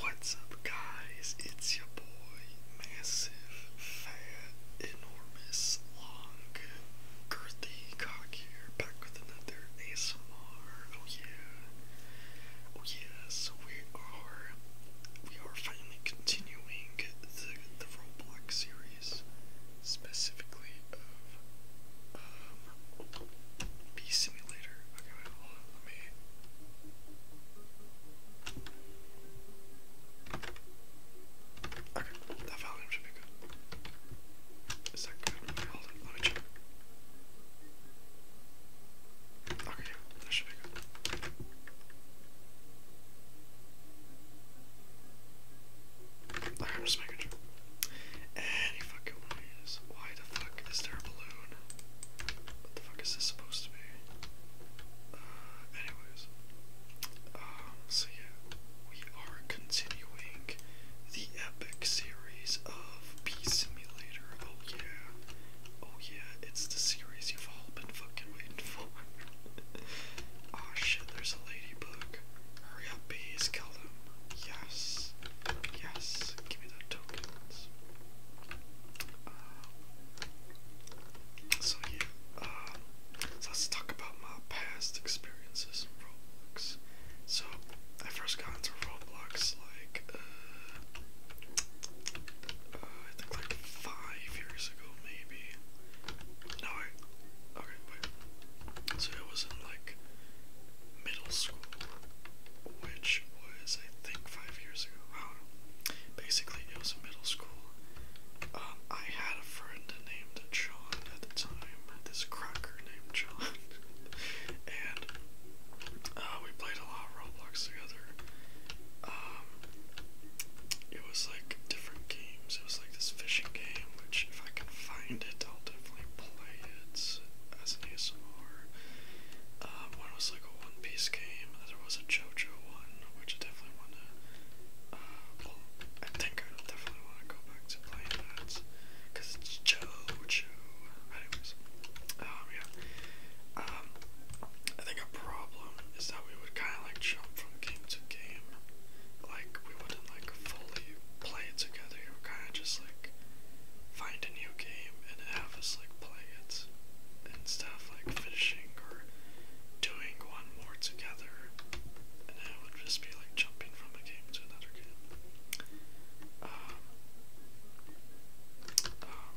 What's up, guys? It's your boy, massive, fat, enormous, long, girthy, cock here, back with another ASMR. Oh yeah, oh yeah. we are, we are finally continuing the the Roblox series, specifically of um, Bee Simulator. Okay, wait, hold Okay, that volume should be good. Is that good? hold on, let me check. Okay, that should be good. Okay, I'm just making sure. Any fucking ways. Why the fuck is there a balloon what the fuck is this supposed to be? Uh, anyways, um, so yeah, we are continuing the epic series of Beast Simulator. Oh yeah, oh yeah, it's the series you've all been fucking waiting for. Aw ah, shit, there's a ladybug. Hurry up, bees, kill them. Yes, yes tokens. Give me the tokens. Uh, so yeah, uh, so let's talk about my past experiences in Roblox. So I first got into Roblox like uh, uh, I think like five years ago, maybe. No, I okay, wait. So it was in like middle school, which was I think five years ago. Um, basically, it was a middle school. Um, I had a friend named John at the time, this cracker named John, and uh, we played a lot of Roblox together. Um, it was like different games. It was like this fishing game, which if I can find it, I'll definitely play it as an ASMR. Um, one was like a One Piece game, and there was a JoJo one, which I definitely want to. Uh, well, I think I definitely want to go back to playing that because it's JoJo. Anyways, um, yeah. Um, I think a problem is that we would kind of like jump from game to game, like we wouldn't like fully play it together. We would kind of just like like find a new game and have us like play it instead of like finishing or doing one more together, and it would just be like jumping from a game to another game. Um, um,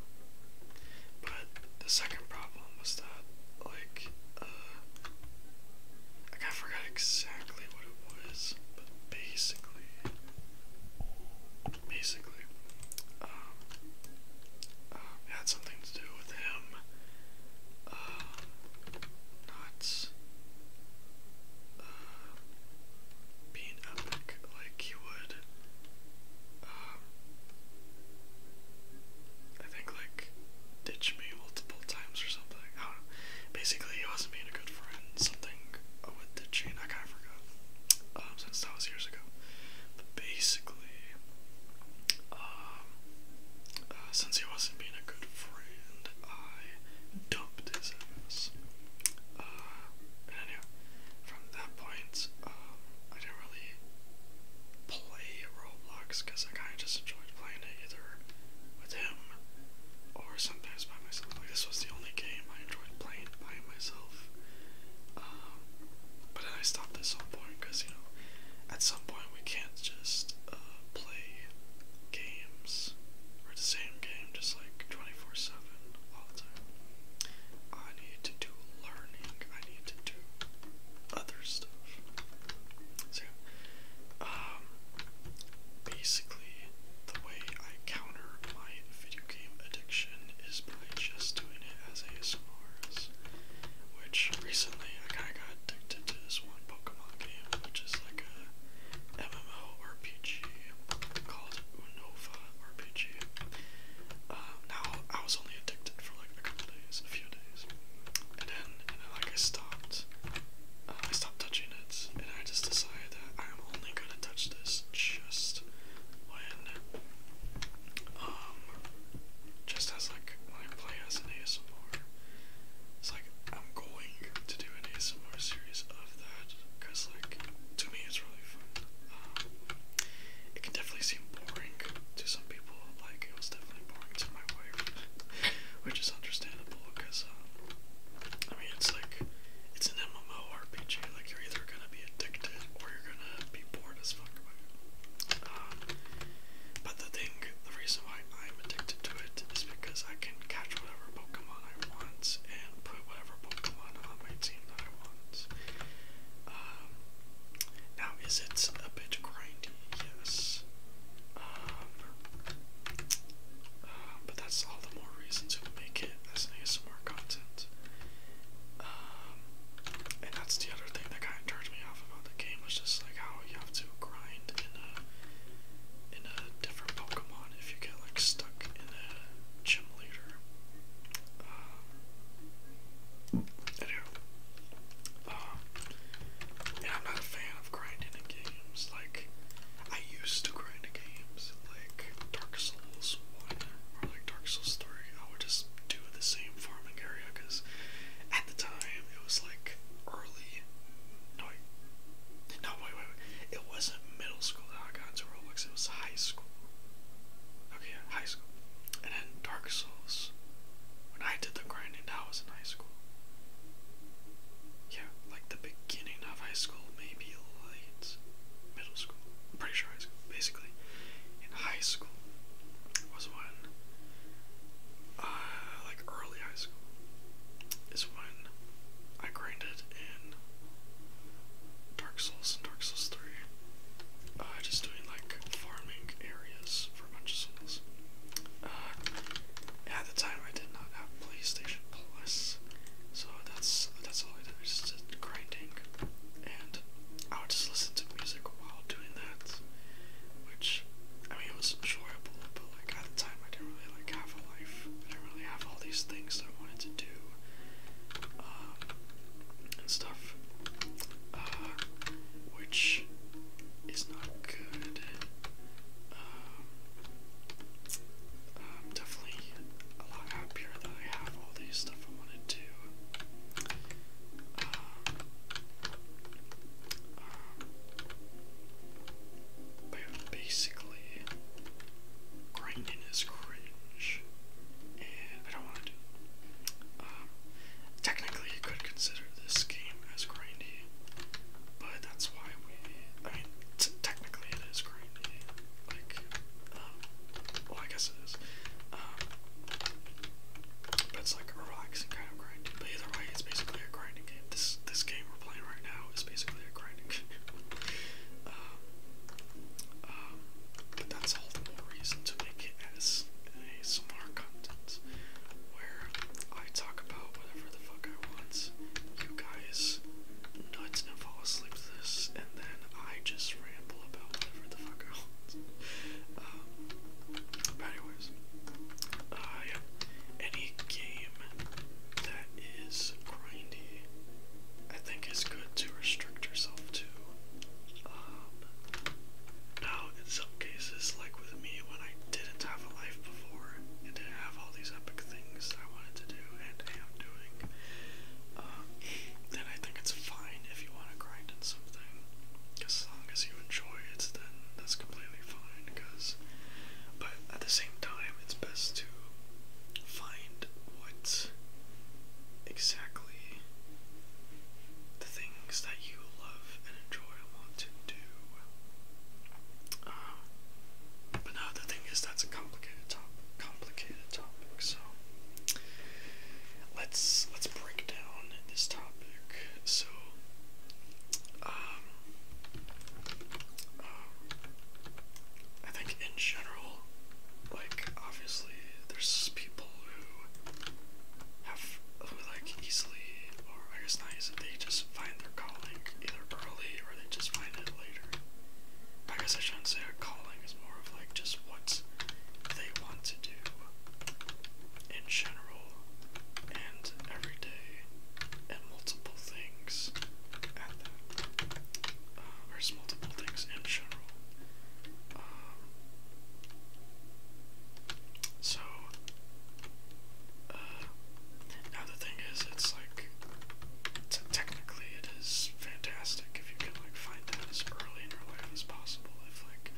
but the second problem was that like uh, like I forgot exactly what it was, but basically basically. Um, had something to do with him uh, not uh, being epic. Like, he would, um, I think, like, ditch me multiple times or something. Basically, he wasn't being a good friend. Something with the ditching. I forgot. Um, since that was years ago. But basically, um, uh, since he wasn't being a good friend, I dumped his ass. Uh, and from that point, um, I didn't really play Roblox because I kind of just enjoyed playing it either with him or sometimes by myself. Like, this was the only game I enjoyed playing by enjoying myself. Um, but then I stopped at some point because you know, at some point we can't just uh, play games or the same game just like twenty four seven all the time. I need to do learning. I need to do other stuff. So, um, basically, the way I counter my video video game addiction is by just doing it as ASMRs, which recently I kind of got addicted to this one Pokemon game, which is like a MMORPG called Unova RPG. Um, now I was only addicted for like a couple days, a few days, and then and then like I stopped, uh, I stopped touching it, and I just decided. I'm only gonna touch this just when, um, just as like I play ASMR. It's like I'm going to do an ASMR series of that because, like, to me it's really fun. Um, it can definitely seem boring to some people. Like it was definitely boring to my wife, which is understandable because, um, I mean, it's like it's an MMO RPG. Like you're either gonna be addicted or you're gonna be bored as fuck by it. Um, but the thing, the reason why I'm addicted to it is because I can catch whatever Pokemon I want and put whatever Pokemon on my team that I want. Um, now is it a bit grindy? Yes. Um, um, but that's all the more reason to make it that's to more content. Um, and that's the other thing that kind of turned me off about the game was just like how you have to grind in a in a different Pokemon if you get like stuck in a gym leader. Um, um, and I'm not a fan of grinding in games. Like I used to grind in games, like Dark Souls 1 or like Dark Souls 3, I would just do the same farming area because at the time it was like early. No, No, wait, wait, It wasn't middle school that I got into Roblox, it was high school. Okay, high school. And then Dark Souls. When I did the grinding, I was in high school. Yeah, like the beginning of high school, maybe late middle school. I'm pretty sure high basically, in high school was when, uh, like early high school, is when I grinded in Dark Souls and Dark Souls 3. Uh, just doing like farming areas for a souls. Uh, at the time, I did not have PlayStation plus. So that's that's all I did. It's just grinding, and I would just listen to music while doing that, which I mean it was enjoyable, but like at the time I didn't really like have a life. I didn't really have all these things that I wanted to do, um, and stuff, uh, which is not good. Um, um, definitely a lot happier that I have all the stuff I wanted to. Um, um, but basically, grinding is cringe, and I don't want to do um, technically, you could consider this game as grindy, but that's why we. I mean, technically, it is grindy. Um, well, I guess it is. Um, but it's like a relaxing kind of grind. But either way, it's basically a grinding game. This this game we're playing right now is basically a grinding game. Um, that's all the more reason to make it as a similar content where I talk about whatever the fuck I want. You guys Nuts and fall asleep to this, and then I just ramble about whatever the fuck I want. Um, but anyways, uh, any game that is grindy, I think it's good to restrict yourself to. Um, now, in some cases, like with me, when I didn't have a life before and did have all these epic things I wanted to do and am doing, then um, I think it's fine if you want to grind in something. As long as you enjoy it, then that's completely fine. Because, but at the same time, it's best to find what exactly the things that you love and enjoy and want to do. Um, but now the thing is, that's a complicated topic complicated topic, so let's let's break down this topic. So, um, um, I think in general, like obviously, there's people who have who like easily, or I guess not easily, they just find their calling either early or they just find it later. I guess I shouldn't say a calling is more of like just what they want to do in general and every day and multiple things at there's um, multiple things in general. Um, so, uh, now the thing is, it's like T technically, it is fantastic if you can like find that as early in your life as possible. If like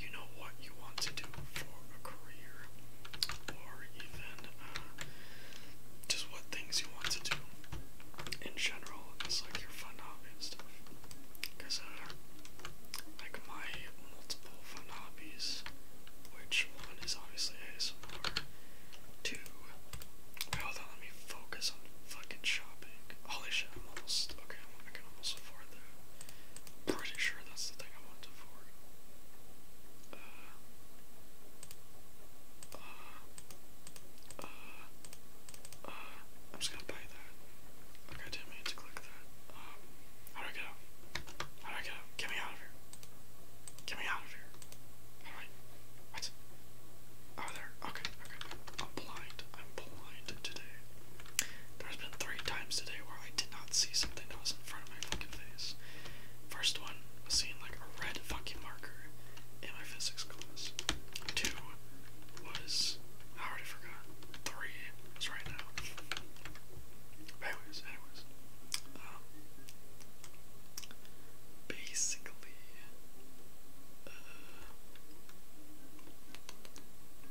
you know what you want to do for a career, or even uh, just what things you want to do in general, it's like your fun hobby and stuff. Because uh, like my multiple fun hobbies, which one is obviously ASMR. Two, well, let me focus on fucking shopping. Holy shit, I'm almost, okay, I can almost afford that. pretty sure that's the thing I want to afford. Uh, uh, uh, I'm just gonna buy that. Okay, damn, I need to click that. Um, how do I get out? How do I get out? Get me out of here. Get me out of here. What? Oh, there. Okay, okay. I'm blind. I'm blind today. There's been three times today where I did not see something that was in front of my fucking face. First one was seeing like a red fucking marker in my physics class. Two was I already forgot. Three was right now. anyways, anyways. Um, basically, uh,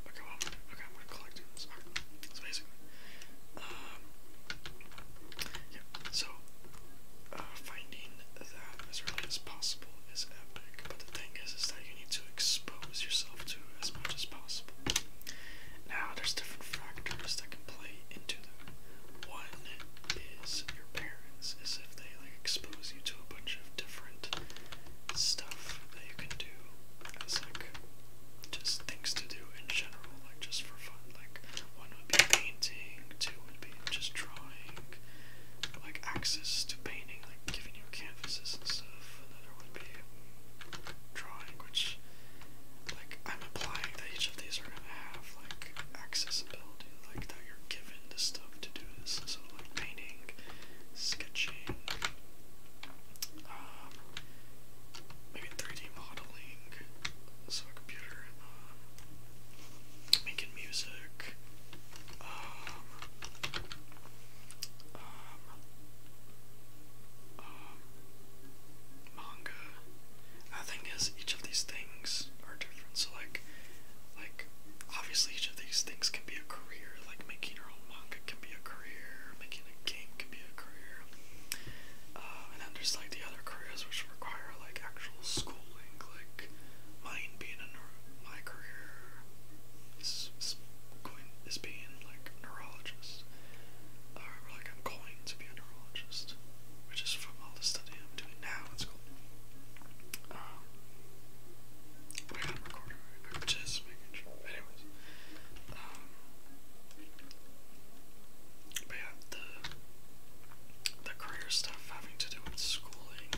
okay, okay, I'm gonna collect this. Alright, basically, yeah, so, uh, finding that as early as possible is epic, but the thing is, is that you need to expose yourself to as much as possible. Now, there's different factors that can play into that. One is your parents, is if they like expose you to a bunch of different stuff that you can do as like just things to do in general, like just for fun. Like one would be painting, two would be just drawing, like access to painting, like giving you canvases and stuff. Another would be drawing, which like I'm implying that each of these are gonna have like like accessibility, like that you're given the stuff to do this. So like painting, sketching, um, maybe 3D modeling, so a computer, um, making music, um, um, um, manga, the thing is, each of these things are different. So like, like obviously each of these things can be a career. Like making your own manga can be a career. Making a game can be a career. Uh, and then there's like the other careers which require like actual schooling. Like mine being a my career is, going is being like neurologist. Or uh, like I'm going to be a neurologist, which is from all the study I'm doing now in school. Um, but yeah, the the career stuff having to do with schooling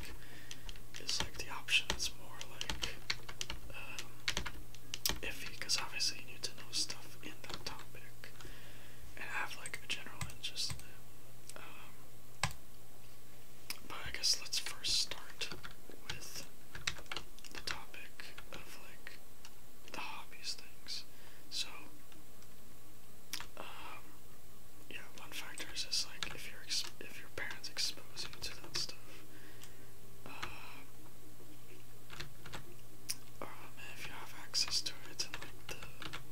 is like the options more like um, because obviously you need to know stuff in that topic have like a general interest um, but I guess let's first start with the topic of like the hobbies things. So, um, yeah, one factor is just like if your if your parents expose you to that stuff. Uh, oh, if you have access to it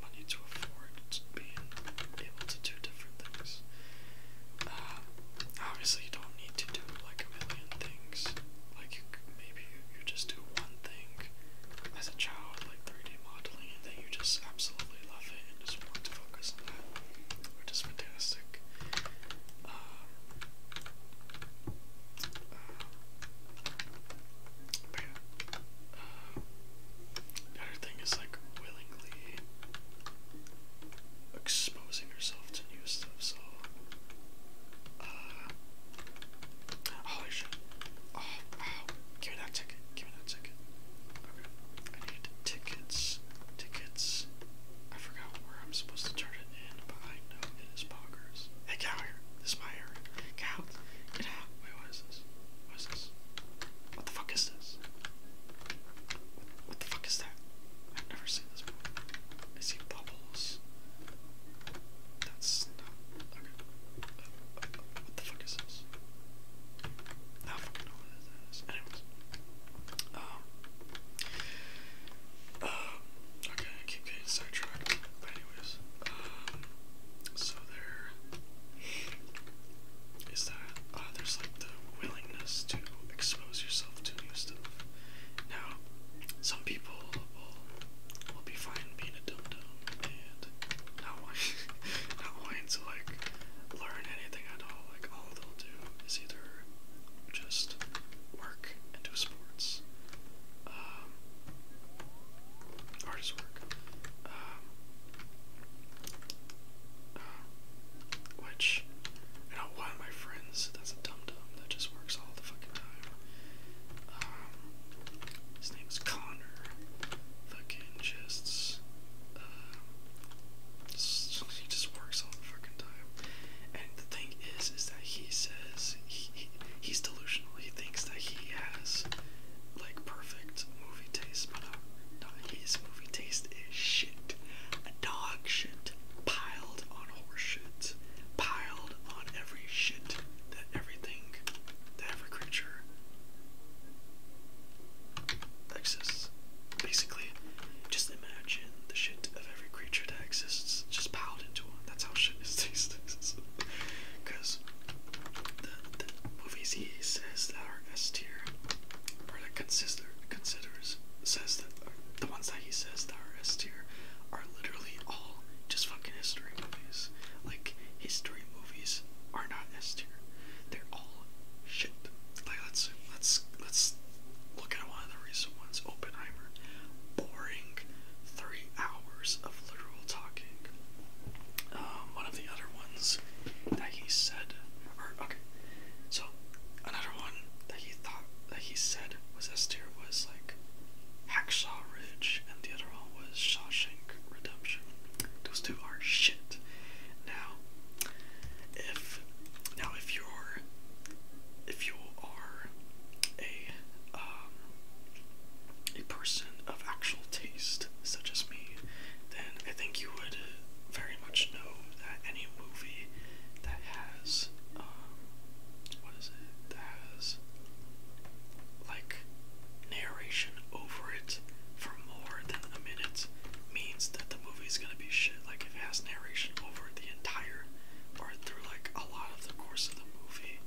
money to afford being able to do different things. Uh, obviously, you don't need to do like a million things. Like maybe you, you just do one thing as a child, like 3D modeling, and then you just absolutely love it and just want to focus on that, which is fantastic. Uh, uh, the thing is like willingly exposing yourself to new stuff, so uh, Oh, oh Give me that ticket. Give me that ticket. Okay. I need tickets. Tickets. I forgot where I'm supposed to turn it in, but I know it is bonkers. Hey, get here. This is my area. Get Get out. Wait, what is this? What is this? What the fuck is this? What, the fuck is that? I've never seen this before. I see bubbles. That's not. Okay. what the fuck is this? I don't fucking know what that is. Anyways. Um. Uh, okay, I keep getting sidetracked. anyways. Um, so there is that. Ah, there's like the willingness to expose yourself to new stuff. Now, some people will be fine being a dum dum and not wanting, not wanting to like learn anything at all. Like all they'll do is either just work and do sports, um, work, um, which, I know one of my friends, that's a dum dum that just works all the fucking time. Um, his name's Connor. Fucking just, just, uh, he just works all the fucking time. And the thing is, is that he says he he's delusional. He thinks that he has like perfect movie taste, but no, uh, no, his movie taste is shit. A dog shit piled on horse shit, piled on every shit that everything, that every creature exists. Basically, just imagine the shit of every creature that exists just piled into one. That's how shit is tasted. Because the, movies he says that are S tier, or that consider, considers, says that the ones that he says that are S tier are literally all just fucking history movies. Like, history movies are not S tier. They're all shit. Like, let's, let's, let's look at one of the recent ones, Oppenheimer. Boring three hours of literal talking. Um, one of the other ones that he said, or okay, so another one that he thought that he said was S tier was like Hacksaw Ridge, and the other one was Shawshank Redemption. Those two are shit. Now, if now if you're if you are a um, a person of actual taste, such as me, then I think you would very much know that any movie that has, um, what is it, that has, like, narration over it for more than a minute means that the movie is gonna be shit. Like, if it has narration over the entire, or through, like, a lot of the course of the movie,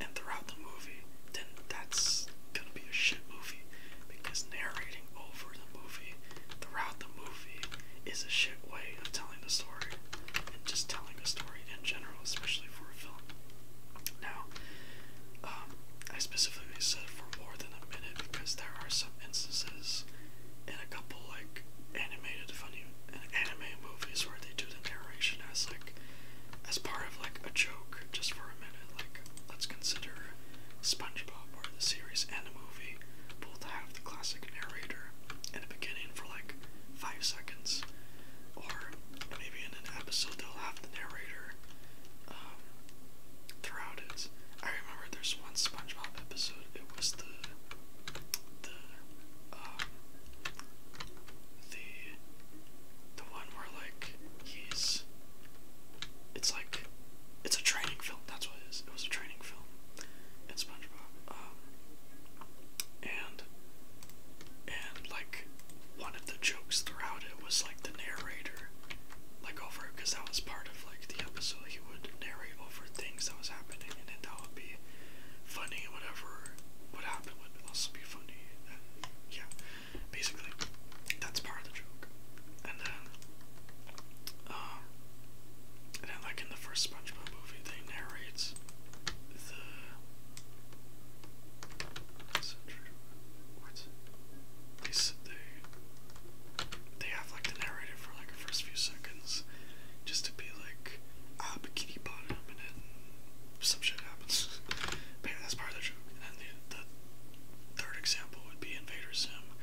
and throughout the movie, then that's gonna be a shit movie because narrating over the movie throughout the movie is a shit way of telling the story and just telling a story in general, especially for a film. Now, um, I specifically said for more than a minute because there are some instances in a couple like animated funny and anime movies where they do the narration as like as part of like a joke just for like, let's consider SpongeBob, where the series and the movie both have the classic narrator in the beginning for like five seconds, or maybe in an episode they'll have the narrator um, throughout it. I remember there's one SpongeBob episode. It was the the um, the the one where like he's it's like it's a training film. That's what it is. It was a training film It's SpongeBob, um, and and like one of the jokes throughout it was like the narrator, like over because that was part of like the episode. He would narrate over things that was happening, and then that would be funny. And Whatever would happen would also be funny. yeah, Basically, that's part of the joke. And then, um, and then like in the first SpongeBob movie, they narrate the. What's it? What? They they have like the narrator for like the first few seconds, just to be like, ah, bikini bottom, and then some shit happens. that's part of the joke. And the third example would be Invader Zim,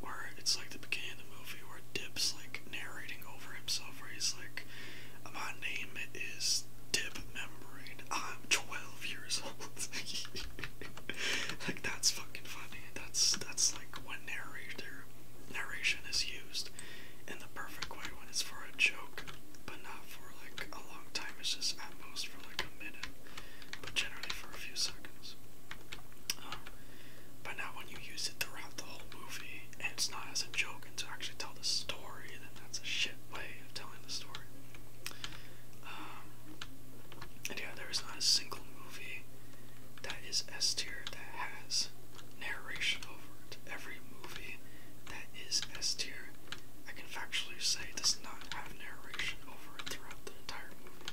where it's like the beginning of the movie where Dip's like narrating over himself, where he's like, "My name is Dip Membrane. I'm 12 years old." like that's fucking funny. That's that's like when narrator narration is used in the perfect way when it's for a joke, but not for like a long time. It's just at most for like a minute, but generally for a few seconds. Um, but now, when you use it throughout the whole movie, and it's not as a joke, and to actually tell the story, then that's a shit way of telling the story. Um, and yeah, there is not a single movie that is S tier that has narration over it. Every movie that is S tier I can factually say does not have narration over it throughout the entire movie.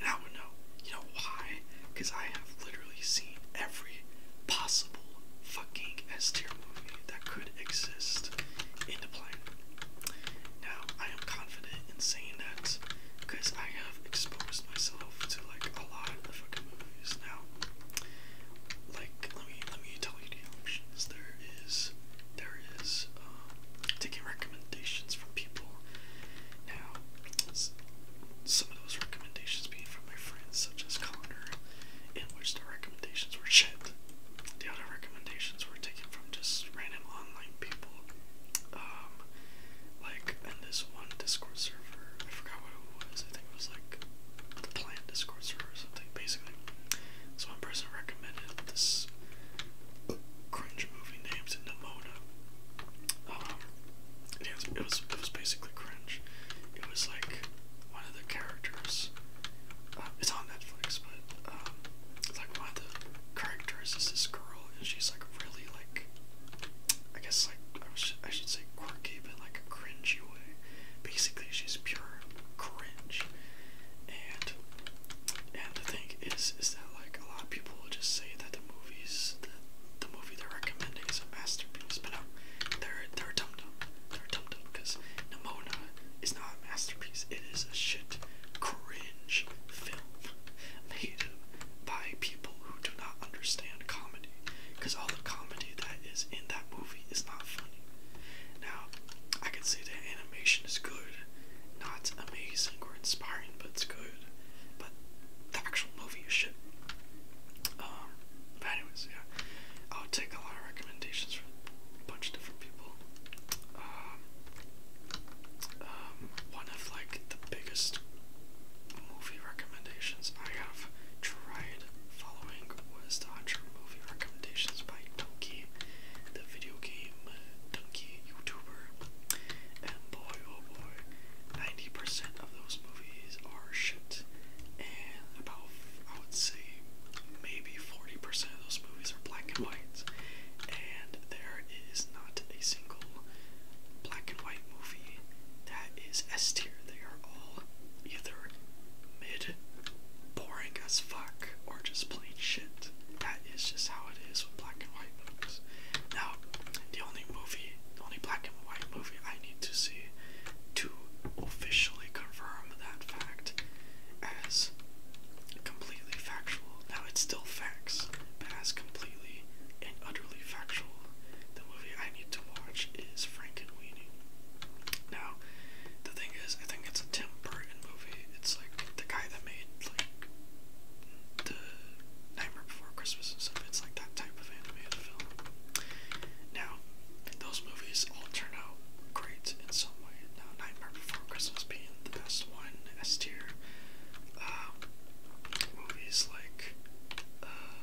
And I would know. You know why? Because I have literally seen every possible fucking S tier movie that could exist in the planet. Now, I am confident in saying that because I have exposed myself to like a lot of the fucking movies now. Like, let me let me tell liquidity options. There is there is um, taking recommendations from people. Now, some of those recommendations being from my friends, such as Connor, in which the recommendations were shit. The other recommendations were taken from just random online people. Um, like in this one Discord server, I forgot what it was. I think it was like the plant Discord server or something. Basically, so one person recommended this cringe movie Name's Nimona. Um, it was, it was basically cringe. It was like one of the characters. Um, it's on Netflix, but um, it's like one of the characters is this girl, and she's like really like, I guess like I, was, I should say quirky, but like a cringy way. Basically, she's pure cringe. And and the thing is is that like a lot of people will just say that the movies the, movie they're recommending is a masterpiece, but no, they're they're dumb dumb. They're dumb dumb because Nimona is not a masterpiece. It is a shit cringe film made by people who do not understand comedy. Because all the comedy that is in that movie is not funny. Now, I can say the animation is good. Not amazing or inspiring, but it's good. But the actual movie is shit. Um, but anyways, yeah. I'll take a lot of recommendations from a bunch of different people. Um, um, one of like the biggest movie recommendations I have tried following was The movie recommendations by Donkey, the video game uh, Donkey YouTuber. And boy, oh boy, 90% of those movies are shit. And about, I would say, maybe 40% of those movies are black and white. And there is not a single black and white movie that is S tier. They are all either mid, boring as fuck fuck or just plain shit. That is just how it is with black and white movies. Now, the only movie, the only black and white movie I need to see to officially confirm that fact as completely factual. Now, it's still facts, but as completely and utterly factual, the movie I need to watch is Frankenweenie. Now, the thing is, I think it's it's Tim Burton movie. It's like the guy that made like the Nightmare Before Christmas and stuff. It's like that type of animated film. Now, those movies all turn out great in some way. Now, Nightmare Before Christmas being the best one, As tier. Uh, movies like uh,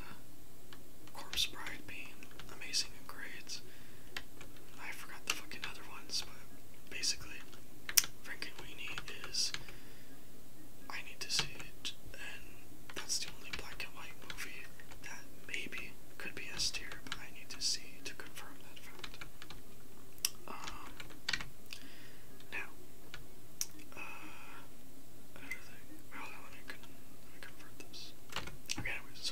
Corpse Bride being amazing in grades. I forgot the fucking other ones, but basically, Frankenweenie is. I need to see it, and that's the only black and white movie that maybe could be S tier, but I need to see to confirm that fact. Um, now, uh, another thing. Hold let me, let me convert this. Okay, anyways,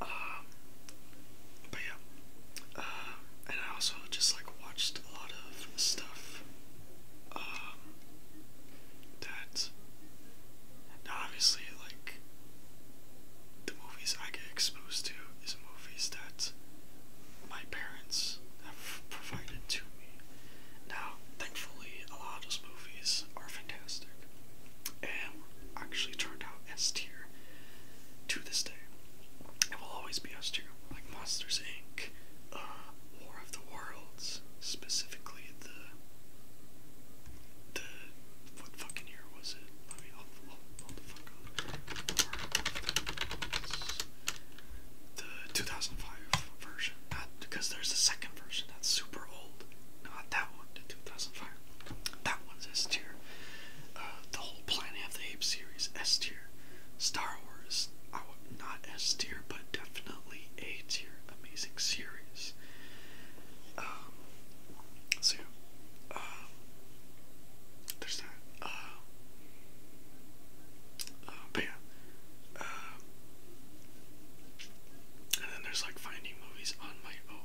um, but yeah, uh, and I also just like watched a lot of stuff um, that now obviously like the movies I get exposed to is movies that my parents have provided to me. Now, thankfully, a lot of those movies are fantastic and actually turned out S tier to this day. It will always be S tier, like Monsters Inc., uh, War of the Worlds, specifically the the what fucking year was it? I mean, I'll, the fuck up. The 2005 version, not because there's a second version that's super old. Not that one. The 2005 that one's S tier. Uh, the whole Planet of the Apes series, S tier. Star Wars, not S tier, but definitely A tier. Amazing series. Um, so, uh, there's that. Uh, but yeah. and then there's like finding movies on my own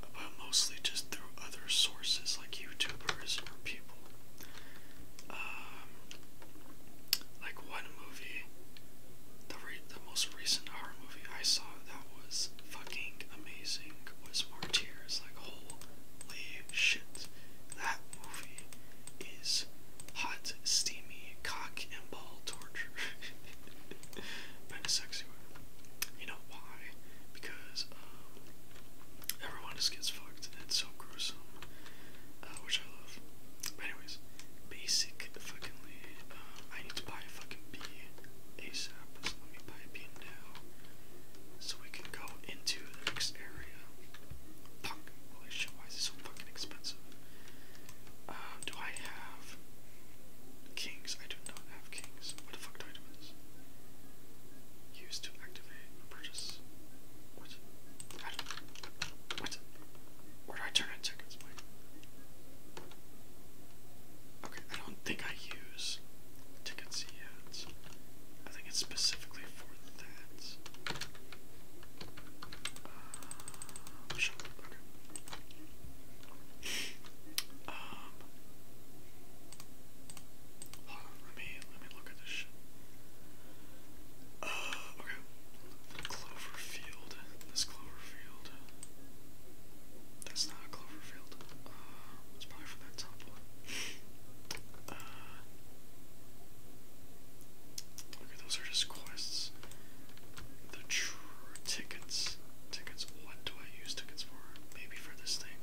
but mostly just through other sources like YouTubers or people. Um, like one movie, the most recent horror movie I saw that was fucking amazing was *More Tears*. Like holy shit, that movie is hot, steamy, cock and ball torture torture. but sexy You know why? Because um, everyone just gets fucked it's so gruesome. Uh, which I love. anyways, basic fuckingly, um, I need to buy a fucking bee let me buy a now. So we can go into the next area. Fuck, holy shit, why so fucking expensive? Uh, do I have Kings. I do not have kings. What the fuck do I do with this? Use to activate purchase. What? How do, what? Where do I turn tickets? Okay, I don't think I use tickets yet. I think it's specifically for that. Uh, um, let me let me look at this. Uh, okay. Cloverfield. This Cloverfield. That's not Cloverfield. Uh, it's probably from that top one. Uh, those are just quests. The true tickets. Tickets, what do I use tickets for? Maybe for this thing.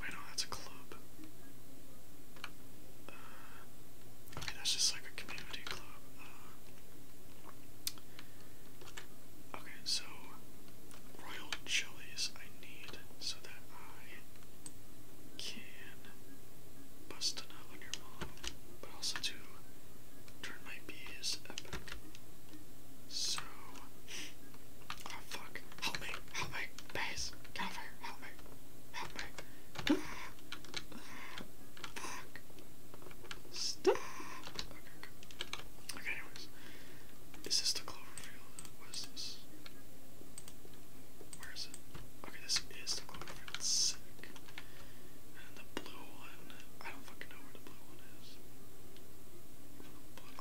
Wait, no, that's a club. Uh, okay, that's just like a community club. Uh, okay, so royal chilies I need so that I can bust a nut on your mom, but also to turn my bees epic. So, oh, fuck, help me, help me, please, get help me, help me. Ah, stop. Okay, okay. okay, is the Cloverfield? What is this? Where is it? Okay, this is the Cloverfield, sick. And the blue one I don't fucking know where the blue one is.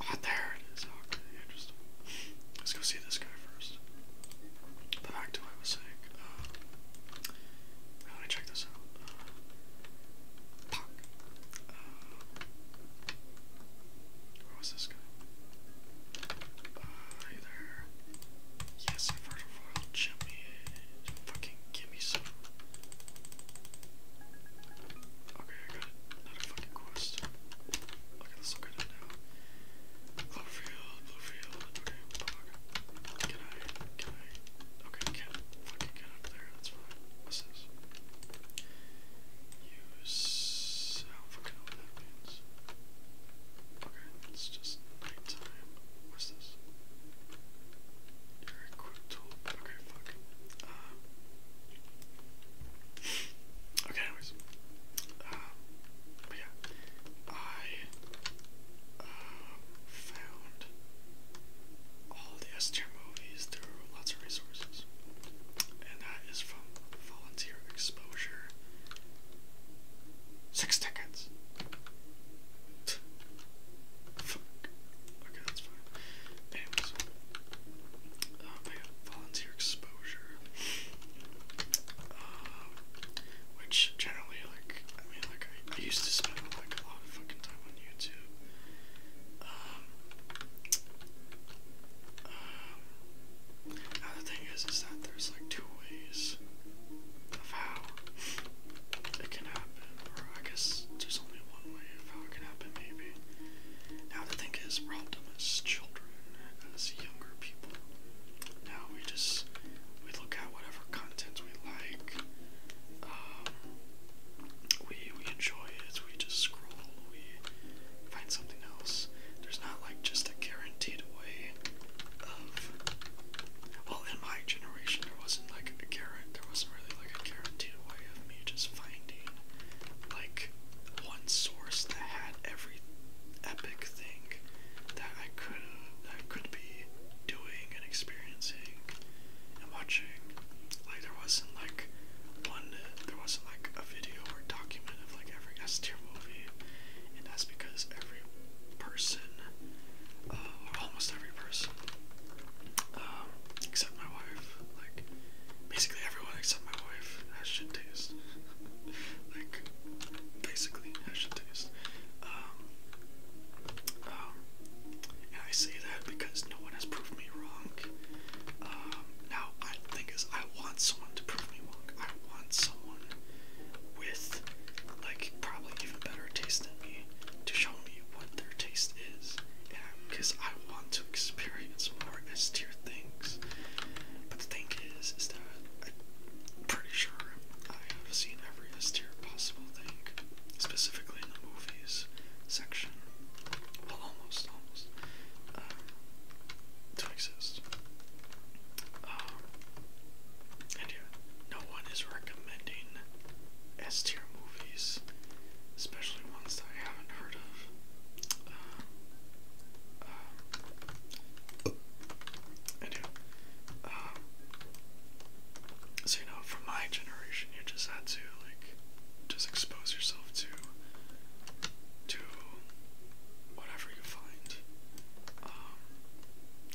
Ah, there it is. Oh, let's go see this guy first. back to what I was saying. Uh, let me check this out. Uh, uh, where was this guy? Uh, there. Yes, i Jimmy give me some. Okay, I got another fucking quest. Okay, let's look at it now. Bluefield, Bluefield. Okay, Can I? Can I? Okay, can't fucking get up there. That's fine. What's this? Use. I Okay, it's just nighttime. What's this? You're equipped Okay, fuck. okay, anyways. Uh, yeah. I uh, found all the S tier movies through lots of resources. And that is from Volunteer Exposure. Six tickets. Fuck. Okay, that's fine. Um, volunteer exposure, uh, which generally, like, I mean, like, I, used to spend like a lot of fucking time on YouTube. Um, um, thing is, is that there's like two ways of how it can happen, or I guess there's only one way of it can happen, maybe. Now, the thing is, we're all dumb as children, as younger people. Now, we just, we look at whatever content we like, um, we, we enjoy it, we just scroll, we find something else. There's not, like, just a guaranteed way of, well, in my generation, there wasn't, like, a guarantee, there wasn't really like a guaranteed way of me just finding like one source that had every epic thing that I could that could be doing and experiencing and watching. Like there wasn't like one there wasn't like a video or document of like every S tier movie and that's because every person um, almost every person um, except my wife. Like, basically everyone except my wife has shit taste. like, basically has shit taste. Um, um, and I say that because no one has proved me wrong. Um, now, I, the thing is, I want someone to prove me wrong. I want someone with, like, probably even better taste than me to show me what their taste is, because I want to experience more S tier things. But the thing is, is that I'm pretty sure I have seen every S tier possible thing, specifically in the movies section. Well, almost, almost. Um, to exist. Um, and yeah, no one is recommending S tier movies, especially ones that I haven't heard of. Um, um, I do. Um, so you know, from my generation, you just had to like just expose yourself to to whatever you find. Um,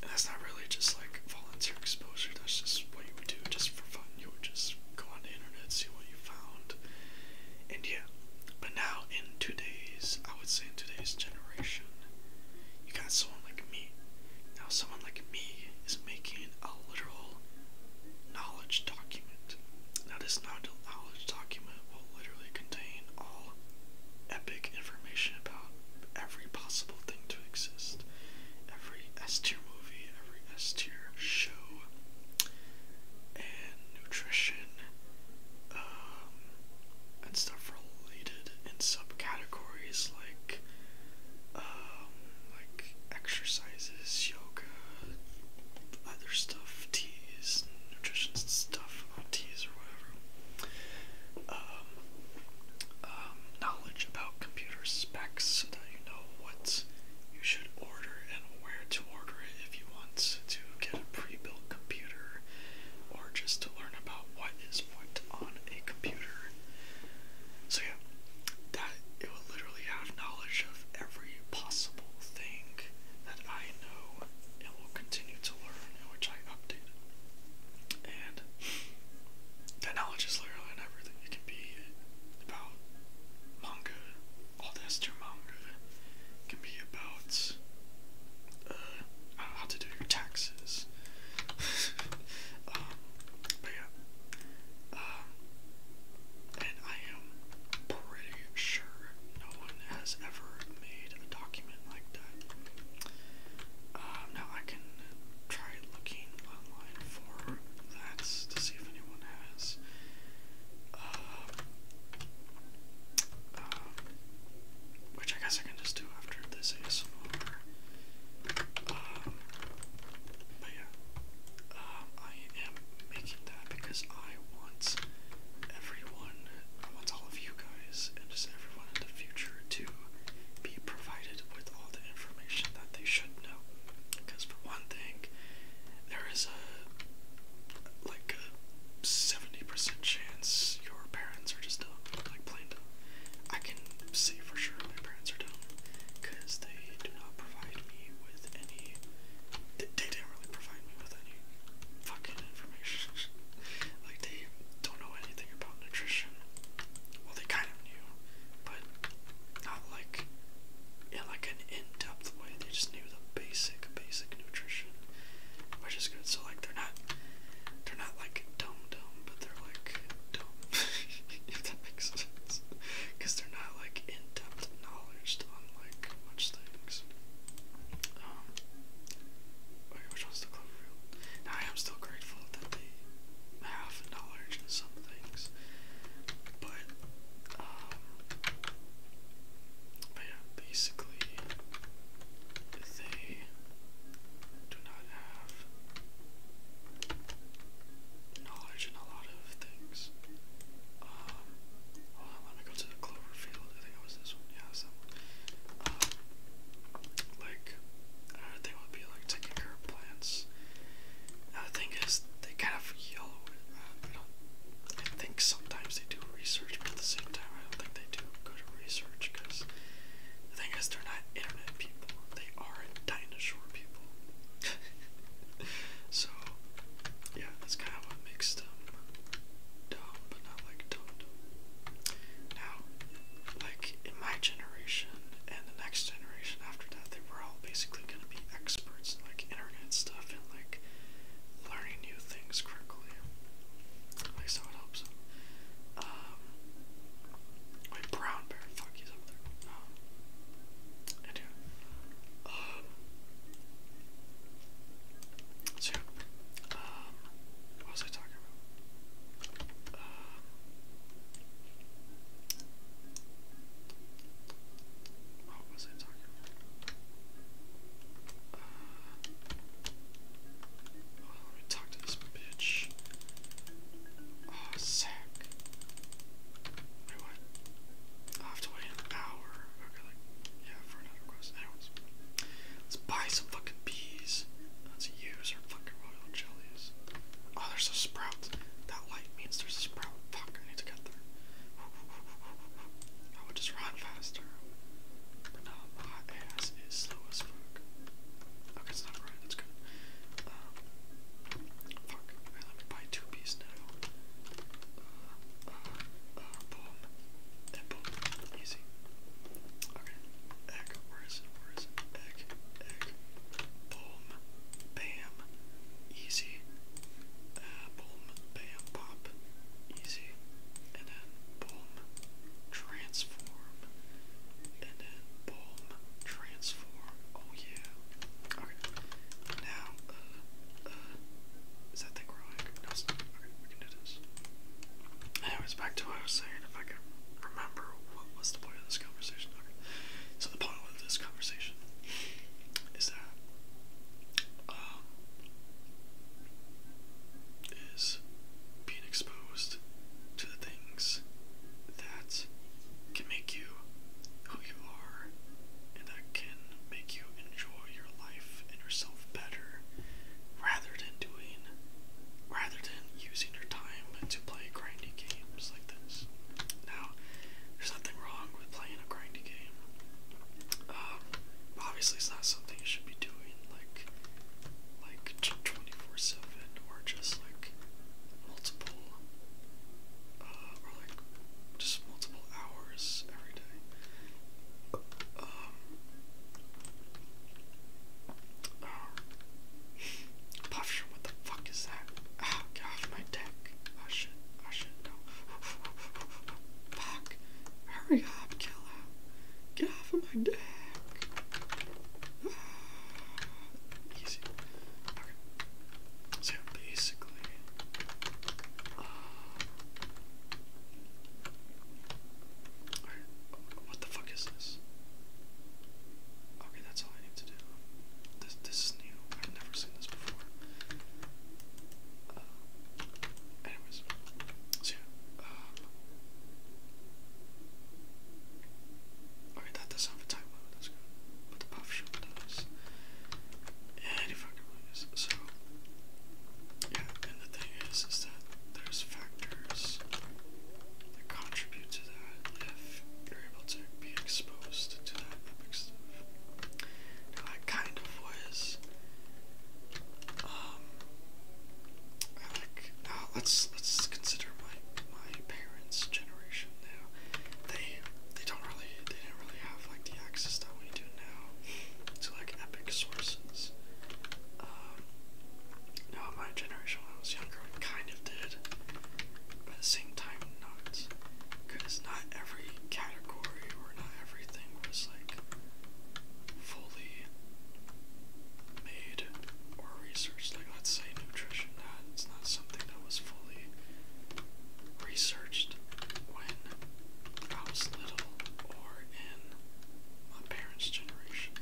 and that's not really just like influencer exposure. That's just what you would do just for fun. You would just go on the internet, see what you found, and yeah. But now, in today's, I would say in today's generation, you got someone like me. Now, someone like me is making a literal knowledge document. Now, this knowledge document will literally contain all epic information about every possible thing to exist, every S tier movie, every S tier show, and nutrition, um, and stuff related in subcategories like, um, like exercises, yoga, other stuff, teas, nutrition stuff, teas or whatever. Um, um, knowledge about computer specs so that you know what you should order and where to order it if you want to get a pre-built computer or just to learn about what is what on a computer. So yeah, that it will literally have knowledge of every possible thing that I know and will continue to learn and which I update. And that knowledge is literally everything. It can be about manga, old Esther manga. It can be about uh, I how to do your taxes. Um, but yeah. Um, and I am pretty sure no one has ever made a document like that. Um, now I can try looking online line form. That's to see if anyone has. Um, um, which I guess I can just do after this ASMR. Um, but yeah, um, I am making that because I want everyone, I want all of you guys, and just everyone in the future to be provided with all the information that they should know. Because for one thing, there is a like a seventy percent chance your parents are just dumb, like plain dumb. I can say for sure my parents are dumb because they do not provide me with any. They, they didn't really provide me with any fucking information. like they don't know anything about nutrition. Well, they kind of knew, but not like in like an in-depth way. They just knew the basic, basic nutrition, which is good. So like they're not, they're not like dumb dumb, but they're like dumb. if that makes sense, because they're not like in-depth knowledge on like much things. Um. I am still grateful that they have dollars and some things. But um but yeah, basically they do not have knowledge in a lot of things. Um hold on, let me go to the Cloverfield. I think it was this one. Yeah, it's that one. Um, like Another thing would be like taking care of plants. The thing is they kind of yellow. Uh, I think sometimes they do research, but at the same time, I don't think they do good research because the thing is, they're not internet people. They are dinosaur people. so yeah, that's kind of what makes them dumb, but not like dumb dumb. Now like in my generation and the next generation after that, they were all basically going to be experts in like internet stuff and like learning new things quickly. Like, so it helps them. Um, brown Bear, fuck, he's up there. I um, do. Um, so, um, what was I talking about? Uh, what was I talking about? let me talk to this bitch. Oh, sack. Wait, what? i have to wait an hour. Okay, like, yeah, for another quest. Anyways, let's buy some fucking bees. Let's use our fucking royal jellies. Oh, they're so spry that light means there's a sprout. Fuck, I need to get there. I would just run faster. no, my ass is slow as fuck. Okay, it's not right, good. Um, fuck, okay, let me buy two bees now. Uh, uh, uh, boom. boom. Easy. Okay, egg, where is it? boom, bam, easy. Uh, boom, bam, pop, easy. And then boom, transform. And then boom, transform. Oh yeah. Okay. Now, uh, uh, is that thing growing? No, it's Okay, we can do this. Anyways, back to what I was saying. If I can remember what was the point of this conversation, similar. So the point of this conversation is that um, being exposed to the things that can make you who you are and that can make you enjoy your life and yourself better rather than doing rather than using wasting your time to play grindy games like this. Now, there's nothing wrong with playing a grindy game. Um, obviously, it's not something you should be doing like like 24/7 or just like multiple uh, or like just multiple hours every day. Um, um, Puff what the fuck is that? Oh, get off my deck. Oh shit! Oh shit! know. Fuck. Hurry up, killer. Get off of my deck. Ah, uh, what the fuck is this? Okay, that's all I need This this is new. I've never seen this before. Uh, anyways, um, Alright, that does have a time limit, that's good. But the puff shop does. Any fucking ways. So, yeah, and the thing is, is that there's factors that contribute to that if you're able to be exposed to that epic stuff. Now I kind of was um like now uh, let's let's consider my my parents' generation now. They they don't really they didn't really have like the access that we do now to like epic sources. Um now my generation when I was younger we kind of did, but at the same time, not. Because not every category or not everything was like fully made or researched. Like, let's say nutrition, not, it's not something that was fully researched when I was little or in my parents' generation.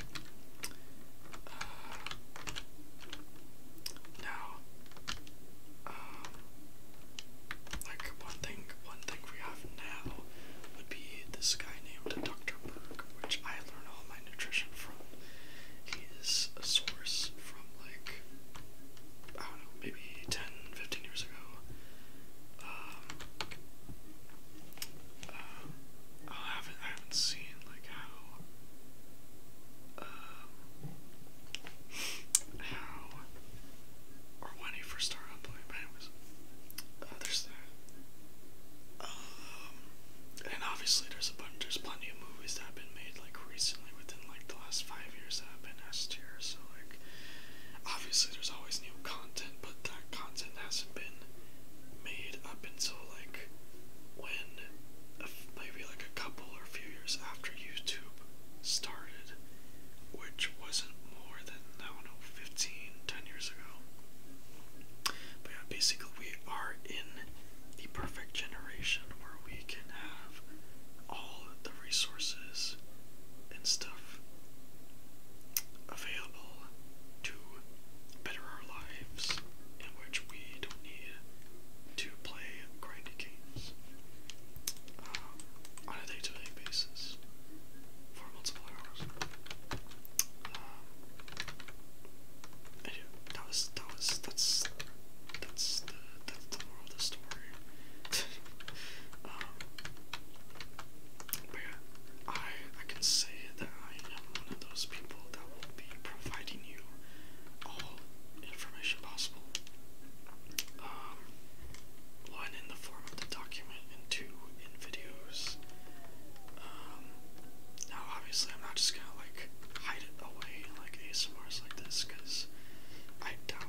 Uh, now, um, like one thing, one thing we have now would be this guy named Dr. Berg, which I learn all my nutrition from. He is a source from like I don't know, maybe 10, years ago. Um, uh, I haven't, I haven't seen like how um, how, or when he first started uploading, but anyways, uh, there's that. Um, and obviously there's a bunch, there's plenty of movies that have been made, like, recently, within, like, the last five years that have been S tier, so, like, obviously there's always new content, but that content hasn't been made up until like when maybe like a couple or a few years after YouTube started, which wasn't more than I don't know 15, 10 years ago. But yeah, basically we are in the perfect generation where we can have all the resources and stuff available to better our lives in which we don't need to play grindy games um, on a day-to-day basis for multiple hours. Um, that was that was that's that's that's the moral of the story. Um, but yeah, I I can say that I am one of those people that will be providing you all information possible. one um, in the form of the document, and two in videos. Um, now, obviously, I'm not just gonna like hide it away in like ASMRs like this, because I doubt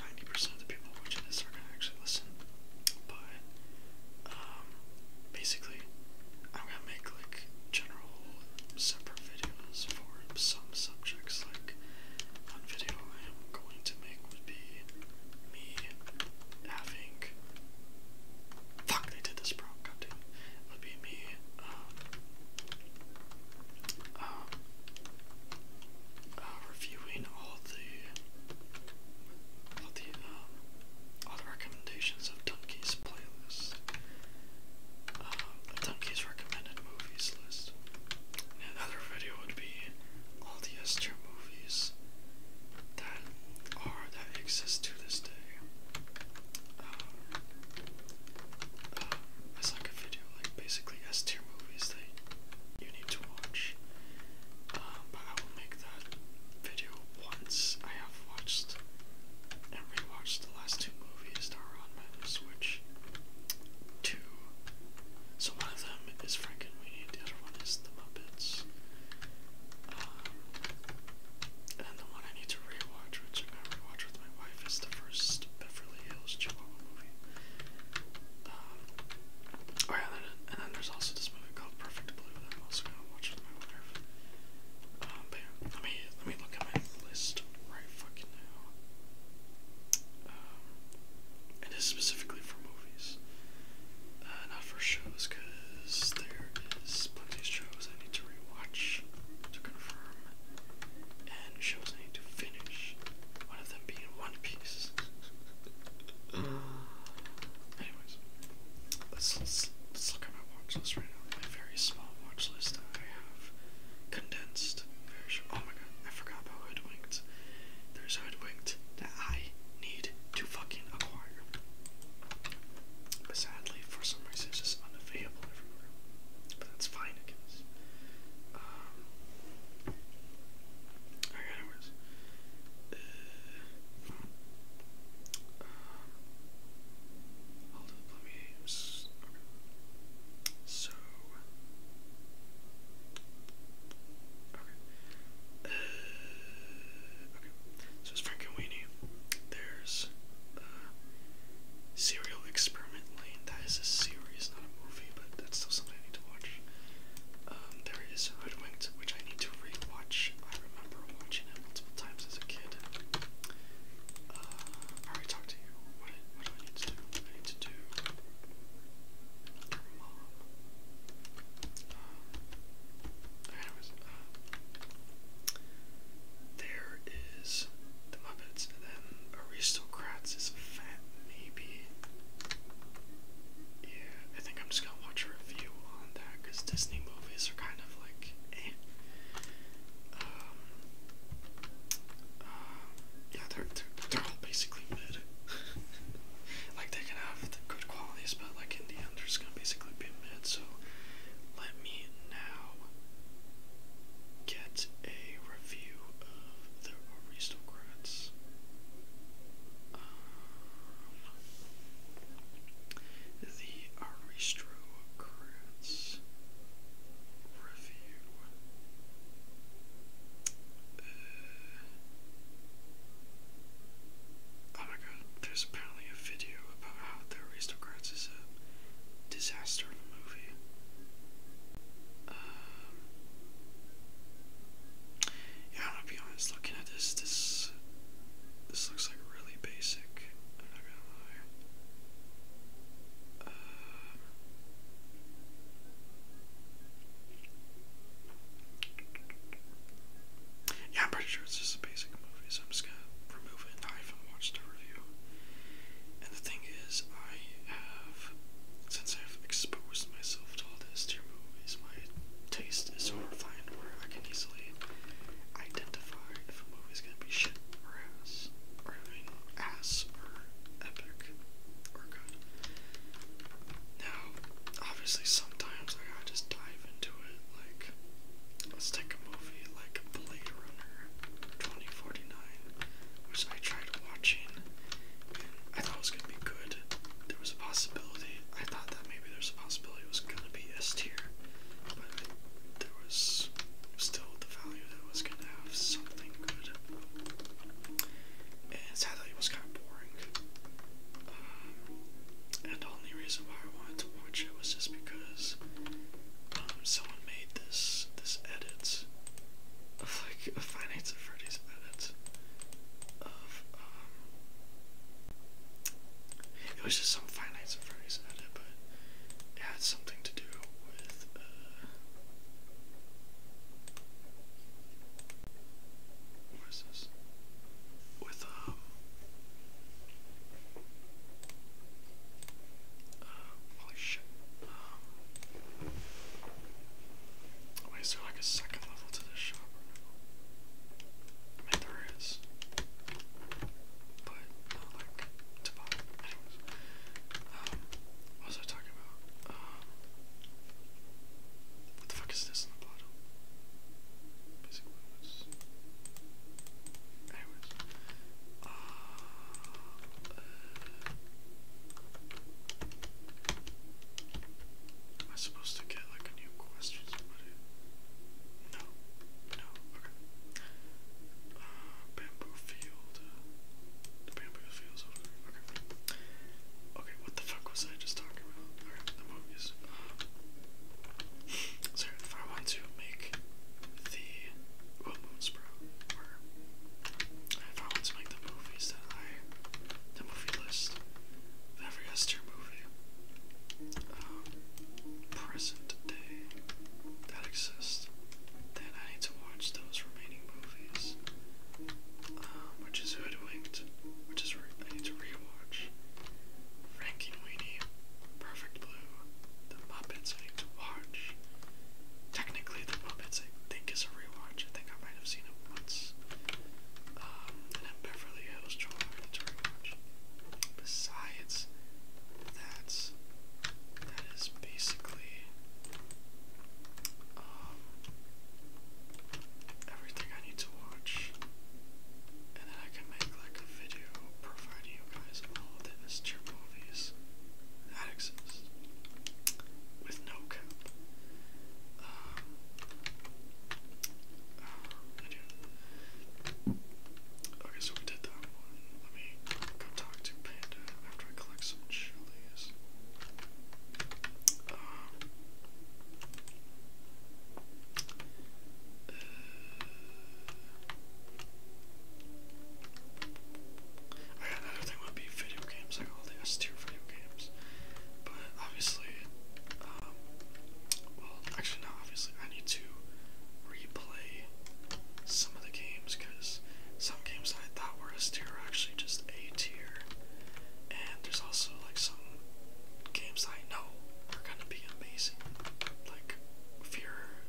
90% of the people watching this are gonna actually listen. But, um, basically, I'm gonna make like general separate videos for some subjects. Like one video I am going to make would be me having. Fuck! They did this, bro. Goddamn. would be me. Um, um, uh, reviewing all the all the um all the recommendations of Dunkies this playlist. Uh, um, recommended movies list. And another video would be all the S tier movies that are that exist to this day. Um, it's like a video, like basically S tier movies that you need to watch. but I will make that video once. I have watched and rewatched the last two movies that are on my Switch. Two. So one of them is Frankenweenie, the other one is The Muppets. Um, and the one I need to rewatch, which I'm with my wife, is the first Beverly Hills Chihuahua movie. Um, oh yeah, and then, there's also this movie called Perfect Blue that I'm also gonna watch with my wife let me let me look at my list right fucking now. Um, and specifically for movies, uh, not for shows, because there is plenty of shows I need to rewatch to confirm, and shows I need to finish. One of them being One Piece. Anyways. Let's, let's, look at my watch list right now. My very small watch list I have condensed. Very short. Oh my god, I forgot about Hoodwinked. There's Hoodwinked that I need to fucking acquire. But sadly, for some reason, it's just unavailable everywhere. But that's fine, I um, hold So. Uh, okay. So it's Frankenweenie. There's Serial Experiment Lane. That is a series, not a movie, but that's still something I need to watch. Um, there is Hoodwinked, which I need to rewatch. I remember watching it multiple times as a kid. Uh, I already talked to you. What, do I need to do? need to do um, uh, there is the Muppets, then Aristocrats is fat, maybe. Yeah, I think I'm just gonna watch a review on that because Disney movies are kind of like eh. Um, yeah, they're, they're, they're all basically mid. like, they can have good qualities, but, like, in the end, they're just gonna basically be mid, so let me now get a review of the aristocrats. Um, the Aristro Review. Uh, oh my god, there's apparently a video about how The Aristocrats is a disaster in the movie. Um, yeah, I'm gonna be honest, looking at this, this, this looks like really basic, I'm not gonna lie yeah, I'm pretty sure it's just a basic movie, so I'm just gonna remove it. I haven't watched the review. And the thing is, I have, since I've exposed myself to all this, to movies, my taste is horrifying where I can easily identify if a movie's gonna be shit or ass, or I ass or epic or good. Now, obviously, sometimes I just dive into it. Like, let's take a movie like Blade Runner 2049, which I tried watching I thought it was gonna be good. There was a possibility, I thought that maybe there's a possibility it was gonna be S tier, there was still the value that was gonna have something good. And sadly, it was kind of boring. Um, and the only reason why I wanted to watch it was just because um, someone made this this edit of like a Finance of Freddy's edit of um, it was just some Finance of Freddy's edit, but it had something to do with. Uh, what is this? With um, uh, holy shit. Um, is there like a second level to this shop? Or no? I mean, there is but what the fuck is this in the bottle? Basic movements. supposed to get like a new quest from somebody? No, no, uh, bamboo field. The bamboo field's over there. Okay. Okay, what the fuck was I just talking about? the movies. so if I want to make the well, Moonsprout, or if I want to make the movies that I, the movie list, the every Esther movie, um, present day that exist, then I need to watch those remaining movies. Um, which is Hoodwinked, which is I need to rewatch. Frankie Weenie, Perfect Blue, The Muppets I need to watch. Technically, The Muppets I think is a rewatch. I think I might have seen it once. Um, and then Beverly Hills Joel I need rewatch. Besides, that's that is basically um, everything I need to watch, and then I can make like a video providing you guys all the Mr. movies that exist with no cap. Um, uh, I do Okay, so we did that Let me go talk to Panda after I collect some chilies. Uh, I got another thing would be video games, like all the S tier video games. But obviously, um, well, actually, not obviously. I need to replay some of the games because some games I thought were S tier are actually just A tier. And there's also like some games I know are gonna be amazing. Like Fear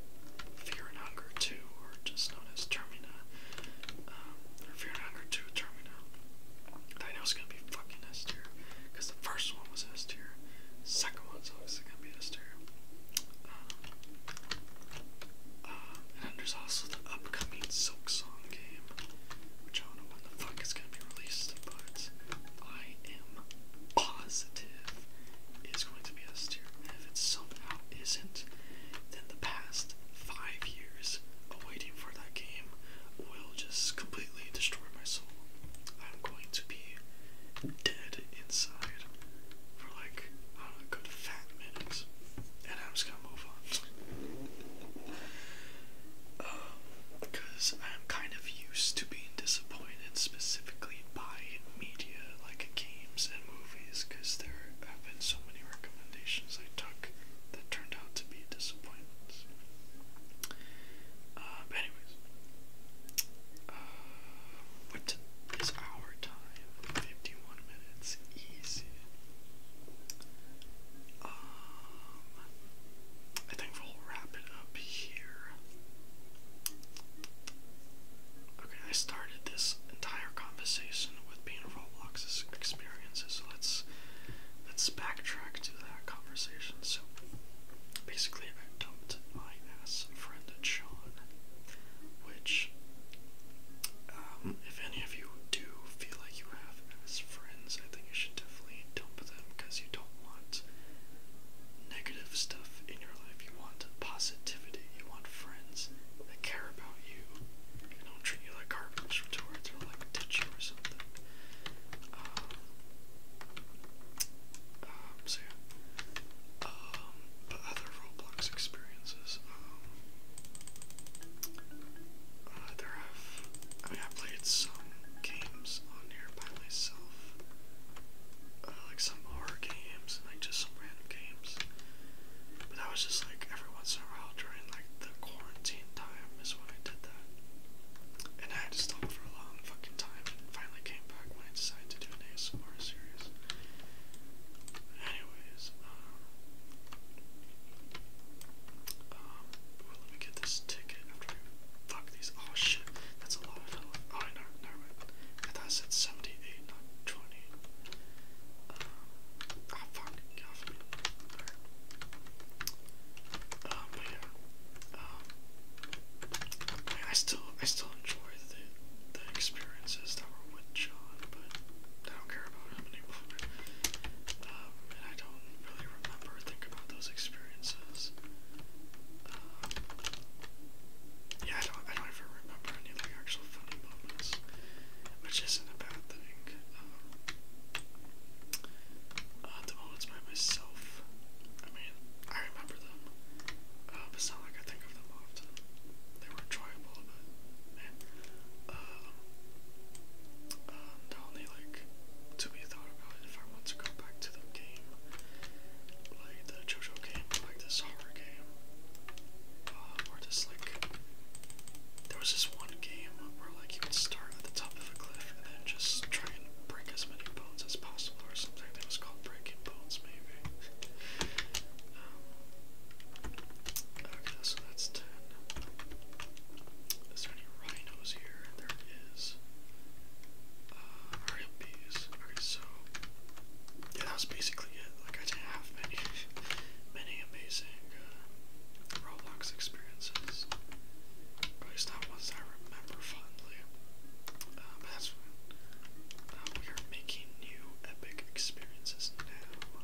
Fear and Hunger 2 or just known as Termina. Um, Fear and Hunger 2 Termina. That I know is gonna be fucking S tier. Because the first one was S tier. Second one's obviously gonna be S uh, and there's also the upcoming Silk Song game, which I don't know when the fuck is gonna be released, but I am positive it's going to be S tier. And if it somehow isn't, then the past five years of waiting for that game will just completely destroy my soul. I'm going to be dead inside for like, I a good fat minutes. And I'm just gonna move on. Because um, I'm kind of used to being disappointed specifically by media like games and movies because there have been so many recommendations I took that turned out to be disappointments. but um, anyways, what is our time? 51 minutes. Easy. Um, I think we'll wrap it up here. Okay, I started this entire conversation with being Roblox's experiences. So let's let's backtrack to that conversation. So basically, I dumped my ass Chris Unfriended Sean, which, um, if any of you do feel like you have as friends, I think you should definitely dump them because you don't want negative stuff in your life. You want positivity. You want friends that care about you and don't treat you like garbage towards or like touch you or something. Um, um, so yeah. Um, but other Roblox experiences, um, uh, there have, I mean, I played some games on here by myself, uh, like some horror games and like just some random games, but that was just like every once in a while during like the quarantine time is when I did that, and I had to stop for a long fucking time and finally came back when I decided to do an ASMR series. Anyways, um, um, let me get this ticket fuck these. Oh shit, that's a lot of hell. Oh, never, mind. I thought I 78, not um, ah, fuck, Um, yeah, um, I, still I still enjoy the the experiences that were with John, but I don't care about how many Um, and I don't really remember think about those experiences. Um, yeah, I don't I do remember any like actual funny moments, which isn't a bad thing. Um, uh, the moments by myself I mean, I remember them. Um, it's not like I think of them often. They were enjoyable, but um, um, the only like to be thought about if I want to go back to the game, like the JoJo game, like this horror game, um, or just like there was this one game where like you would start at the top of a cliff and then just try and break as many bones as possible or something. That was called breaking bones, maybe. Um, okay, so that's 10. Is there any rhinos here? There is. Uh, RLPs. Okay, so. Yeah, that basically it. Like, I didn't have many, many amazing uh, Roblox experiences. at least not ones I remember. Um, um, we are making new epic experiences now.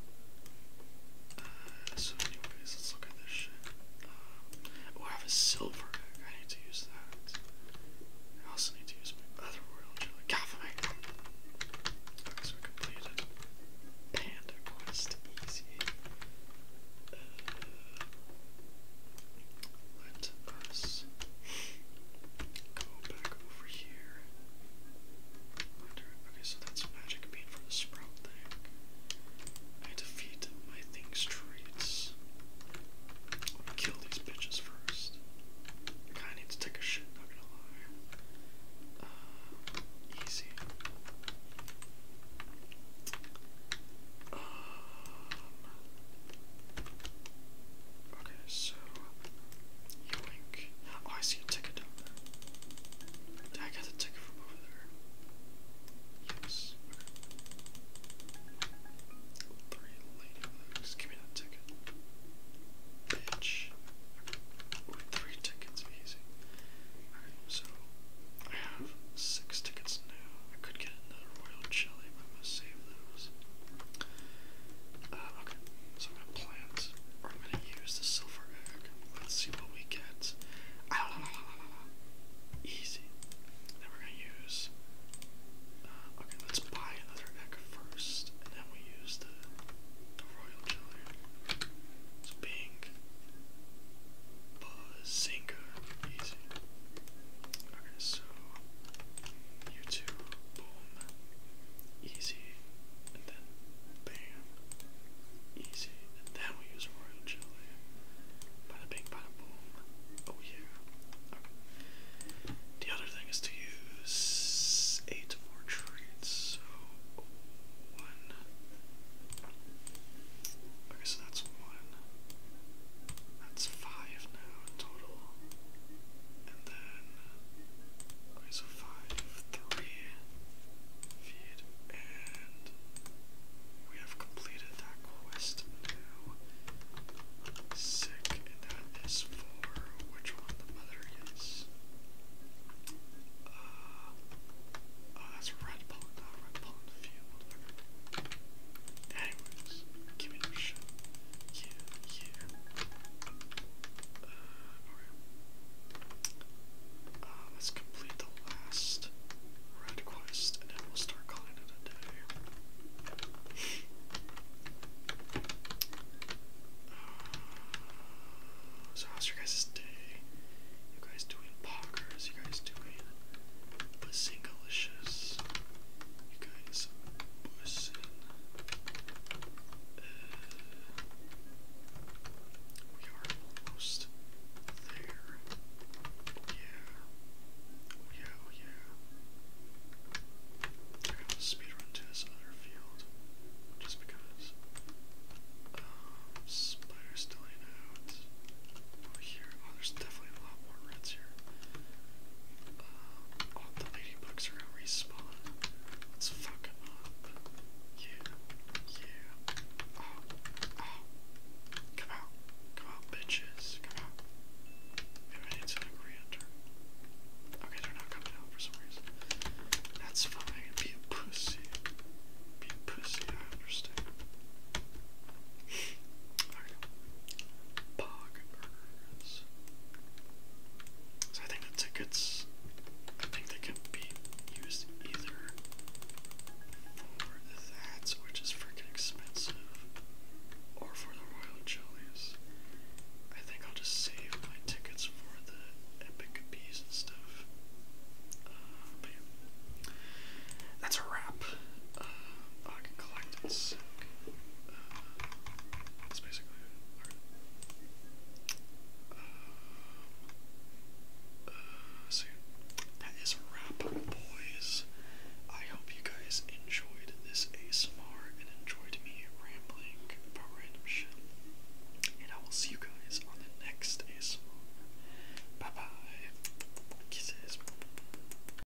Uh, so anyways, let's look at this shit. Um, oh, I have a silver I need to use that. I also need to use my other royal jelly. completed Panda Quest Easy. Uh, let us go back over here. Okay, so that's magic bean for the sprout thing. I defeat my thing's traits. kill these bitches first. I kind to take a shit, not gonna lie. Uh, easy. Um, Okay, so yoink. Oh, I see a ticket down there. Did I get the ticket from over there? Yes. Okay. Three ladybugs. Give me that ticket. Bitch. Okay. Ooh, three tickets, easy. Alright, so I have six tickets now. I could get another royal jelly, I'm save those. Uh, okay, so I'm gonna gonna use the silver egg. Let's see what we get. Ah, Easy. Then we're gonna use. Uh, okay, let's buy another egg first, and then we use the, the royal jelly. So pink. Bazinga. Easy. Okay, so Mewtwo, boom, easy, and then bam, easy, and then we use Royal Jelly. Bada bing, bada boom. Oh yeah. The other thing is to use eight more traits, so one. Okay, so that's one. That's five now in total. And then, okay, so five, and we have completed that quest Sick, and that is for which one the mother is. Uh, oh, that's red pond, red pond field. Anyways, give me your shit. Yeah, yeah. Uh, okay. Uh, let's complete the last red quest, and then we'll start calling it a day. uh, so how's your guys' day? You guys doing poggers? You guys doing Pussingalicious. You guys, uh, we are almost there. Yeah. yeah, oh, yeah. I got speedrun to this other field. Just because. Um, spider still out. Oh, here. Oh, there's definitely a lot more reds uh, the ladybugs are gonna respawn. Let's up. Yeah, yeah. Oh, oh. Come out. Come out, bitches. Come out. Maybe I need to re-enter. Okay, they're not coming out for some reason. That's fine. Be a pussy. Be a pussy, I understand. Alright. Poggers. So I think the tickets, I think they can be used either for that, which is freaking expensive, or for the royal jellies. I think I'll just save my tickets for the epic bees and stuff. Uh, but yeah. That's a wrap. Uh, uh, uh, that is a wrap, boys. I hope you guys enjoyed this ASMR and enjoyed me rambling about random shit. And I will see you guys on the next ASMR. Bye bye. Kisses.